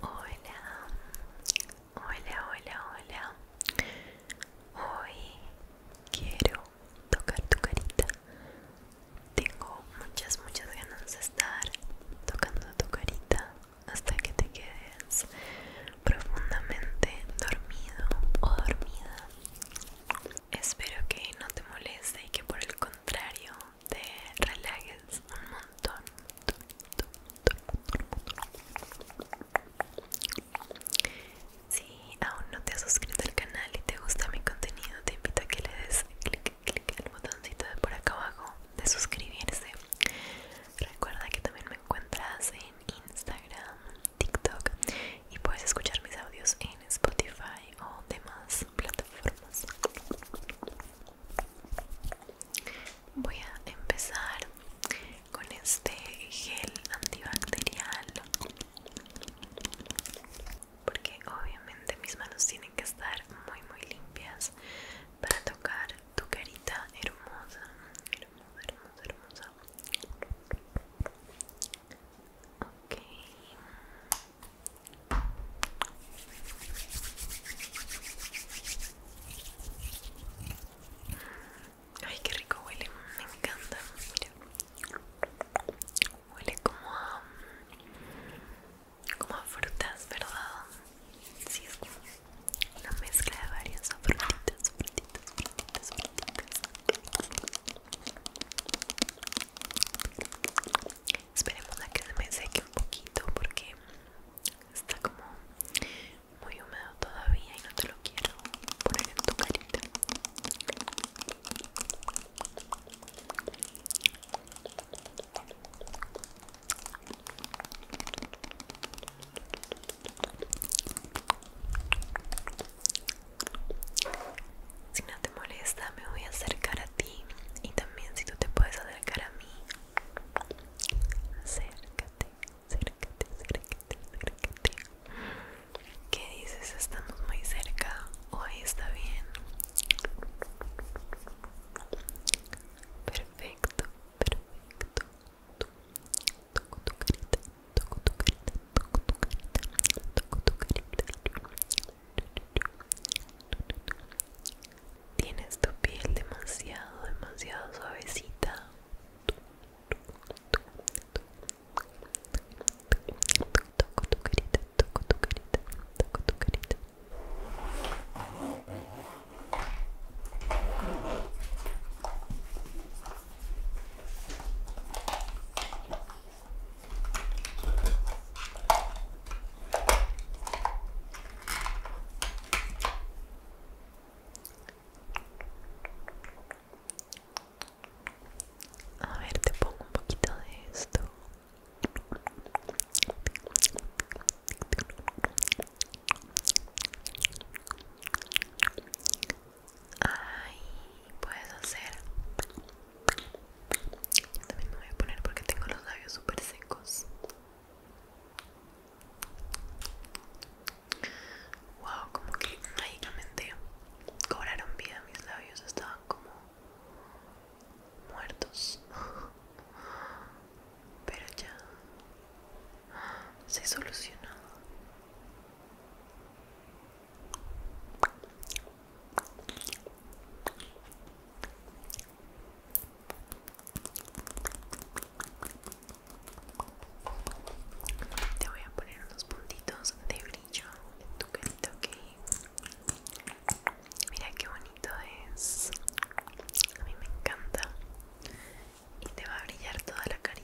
Hola, hola, hola, hola. Hoy quiero tocar tu carita. Tengo muchas, muchas ganas de estar tocando tu carita hasta que te quedes profundamente dormido o dormida Espero que no te moleste y que por el contrario te relajes un montón. Si aún no te has suscrito al canal y te gusta mi contenido, te invito a que le des clic, clic al botoncito de por acá abajo de suscribirse. Recuerda que también me encuentras en Instagram TikTok y puedes escuchar mis audios en Spotify o demás plataformas. Voy a empezar con este gel antibacterial porque obviamente mis manos tienen que estar muy muy limpias para tocar tu carita hermosa hermosa hermosa hermosa Ay, qué rico huele, me encanta. Huele como a, como a frutas, ¿verdad? Sí, es como una mezcla de varias frutitas. Esperemos a que se me seque un poquito porque está como muy húmedo todavía y no te lo quiero poner en tu carita. Si no te molesta, me voy a acercar a ti y también si tú te puedes acercar a mí. Acércate, acércate, acércate, acércate. ¿Qué dices? Estamos muy cerca. Hoy está bien. Perfecto, perfecto toco tu carita, toco tu carita, toco tu carita, toco tu carita. Tienes tu piel demasiado, demasiado suavecita. Toco tu carita, toco tu carita, toco tu carita. A ver, te pongo un poquito de esto. Ay, puedes hacer. Yo también me voy a poner porque tengo los labios súper secos. Wow, como que mágicamente cobraron vida mis labios, estaban como muertos. Pero ya se solucionó. Te voy a poner unos puntitos de brillo en tu carita, ok. Mira qué bonito es. A mí me encanta y te va a brillar toda la carita.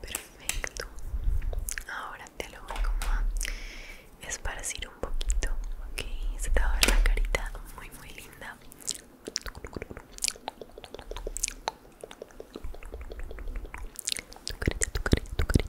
Perfecto. Ahora te lo voy como a esparcir un poquito. Ok, se te va a ver la carita muy muy linda. Tu carita, tu carita, tu carita,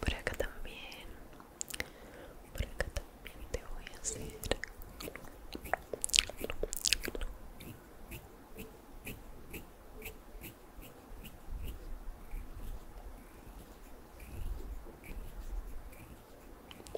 Por acá también. Por acá también te voy a hacer.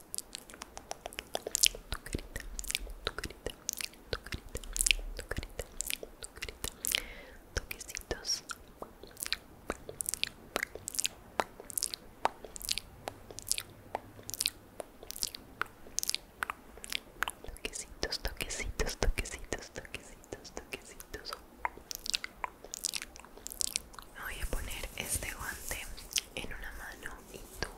tu carita, tu carita, tu carita, toquecitos. Toquecitos, toquecitos, toquecitos, toquecitos, toquecitos. Voy a poner este guante en una mano y tú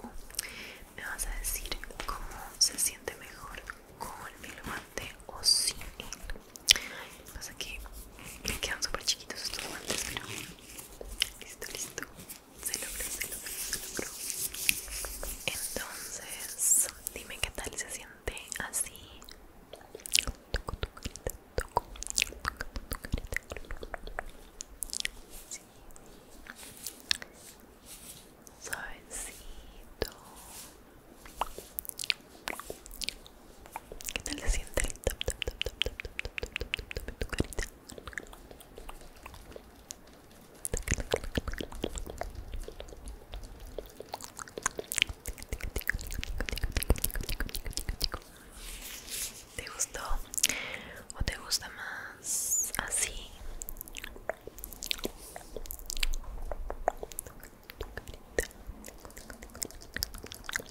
me vas a decir cómo se siente mejor con el guante o sin él. Lo que pasa es que me quedan súper chiquitos estos guantes, pero listo, listo. Se logró, se logró, se logró. Entonces, dime qué tal se siente así. Toco tu toco, toco tu suavecito. ¿Qué tal se siente tap tap tap tap tap tap tap tap tu carita? ¿Te gustó? ¿O te gusta más así?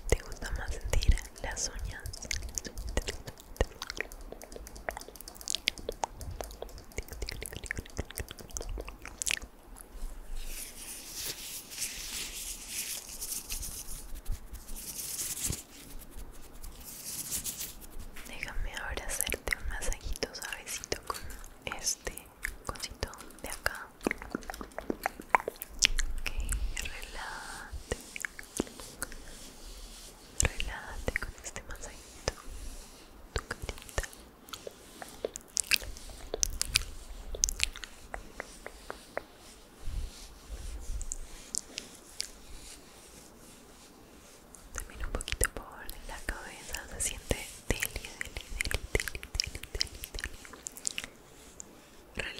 ¿Te gusta más sentir las uñas? Déjame ahora hacerte un masajito suavecito con este cosito de acá. Ok, relate. Relate con este masajito. Tu también un poquito por la cabeza se siente deli, deli, deli, deli, deli, deli,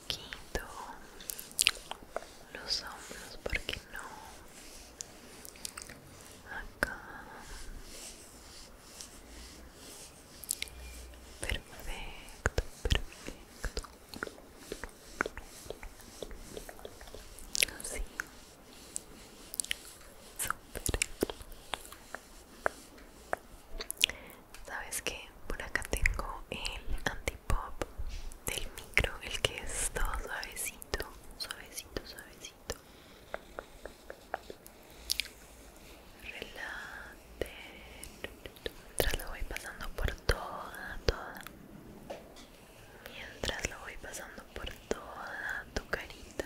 Quito los hombros, porque no acá. Perfecto, perfecto. Así. Súper. ¿Sabes qué? por acá tengo el antipop del micro, el que es todo suavecito, suavecito, suavecito. Relate. Mientras lo voy pasando por toda, toda. Mientras lo voy pasando por toda tu carita.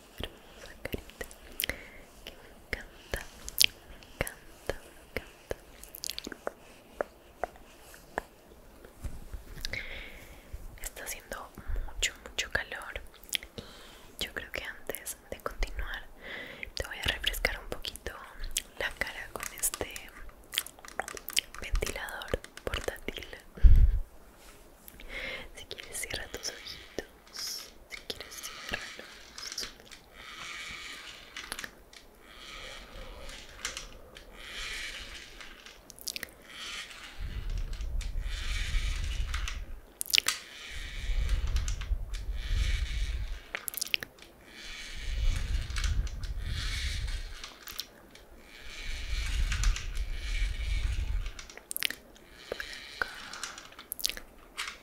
hermosa que me encanta, me encanta, me encanta. Está haciendo mucho, mucho calor y yo creo que antes de continuar te voy a refrescar un poquito la cara con este ventilador portátil. Si quieres cierra tus ojitos, si quieres ciérralos. los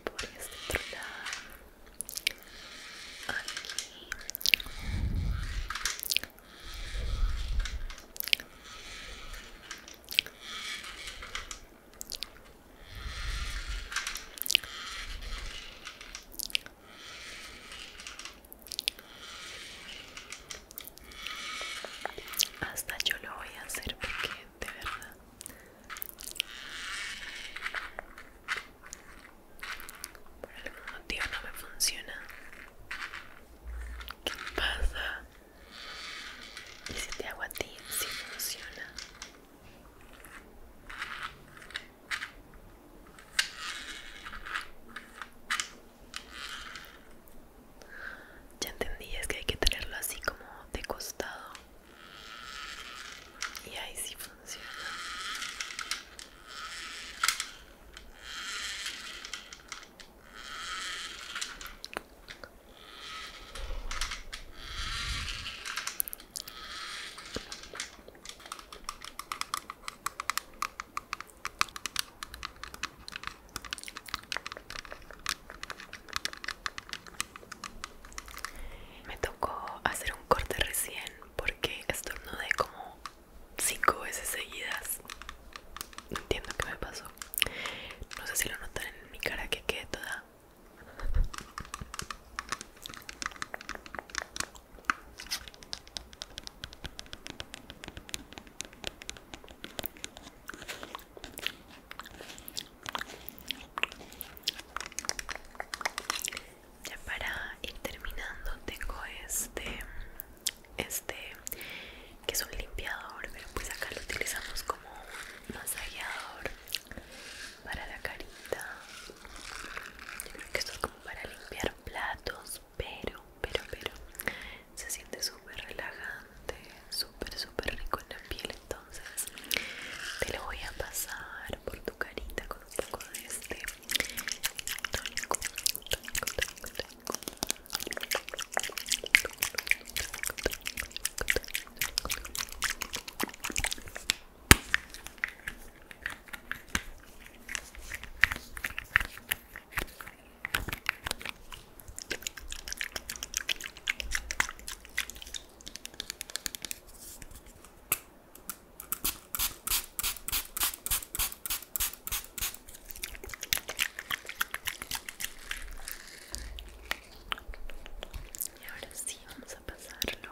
por este otro lado aquí hasta yo lo voy a hacer porque ¿De ¿verdad? Por algún motivo no me funciona. ¿Qué pasa? ¿Y si te hago a ti sí funciona? Ya entendí, es que hay que tenerlo así como de costado. Y ahí sí funciona. Me tocó hacer un corte recién porque estornudé como cinco veces seguidas. Entiendo que me pasó. No sé si lo notan en mi cara que quede toda. Ya para ir terminando tengo este este que es un limpiador pero pues acá lo utilizamos como un masajeador para la carita yo creo que esto es como para limpiar platos pero pero pero se siente súper relajante, súper, súper rico en la piel. Entonces, te lo voy a pasar por tu carita con un poco de este tónico, y ahora sí, vamos a pasarlo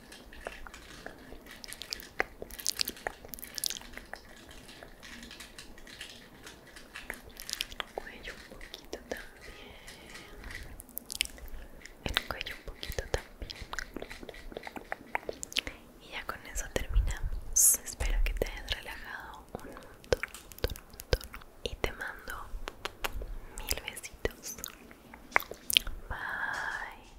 El cuello un poquito también el cuello un poquito también y ya con eso terminamos espero que te hayas relajado un montón. y te mando mil besitos bye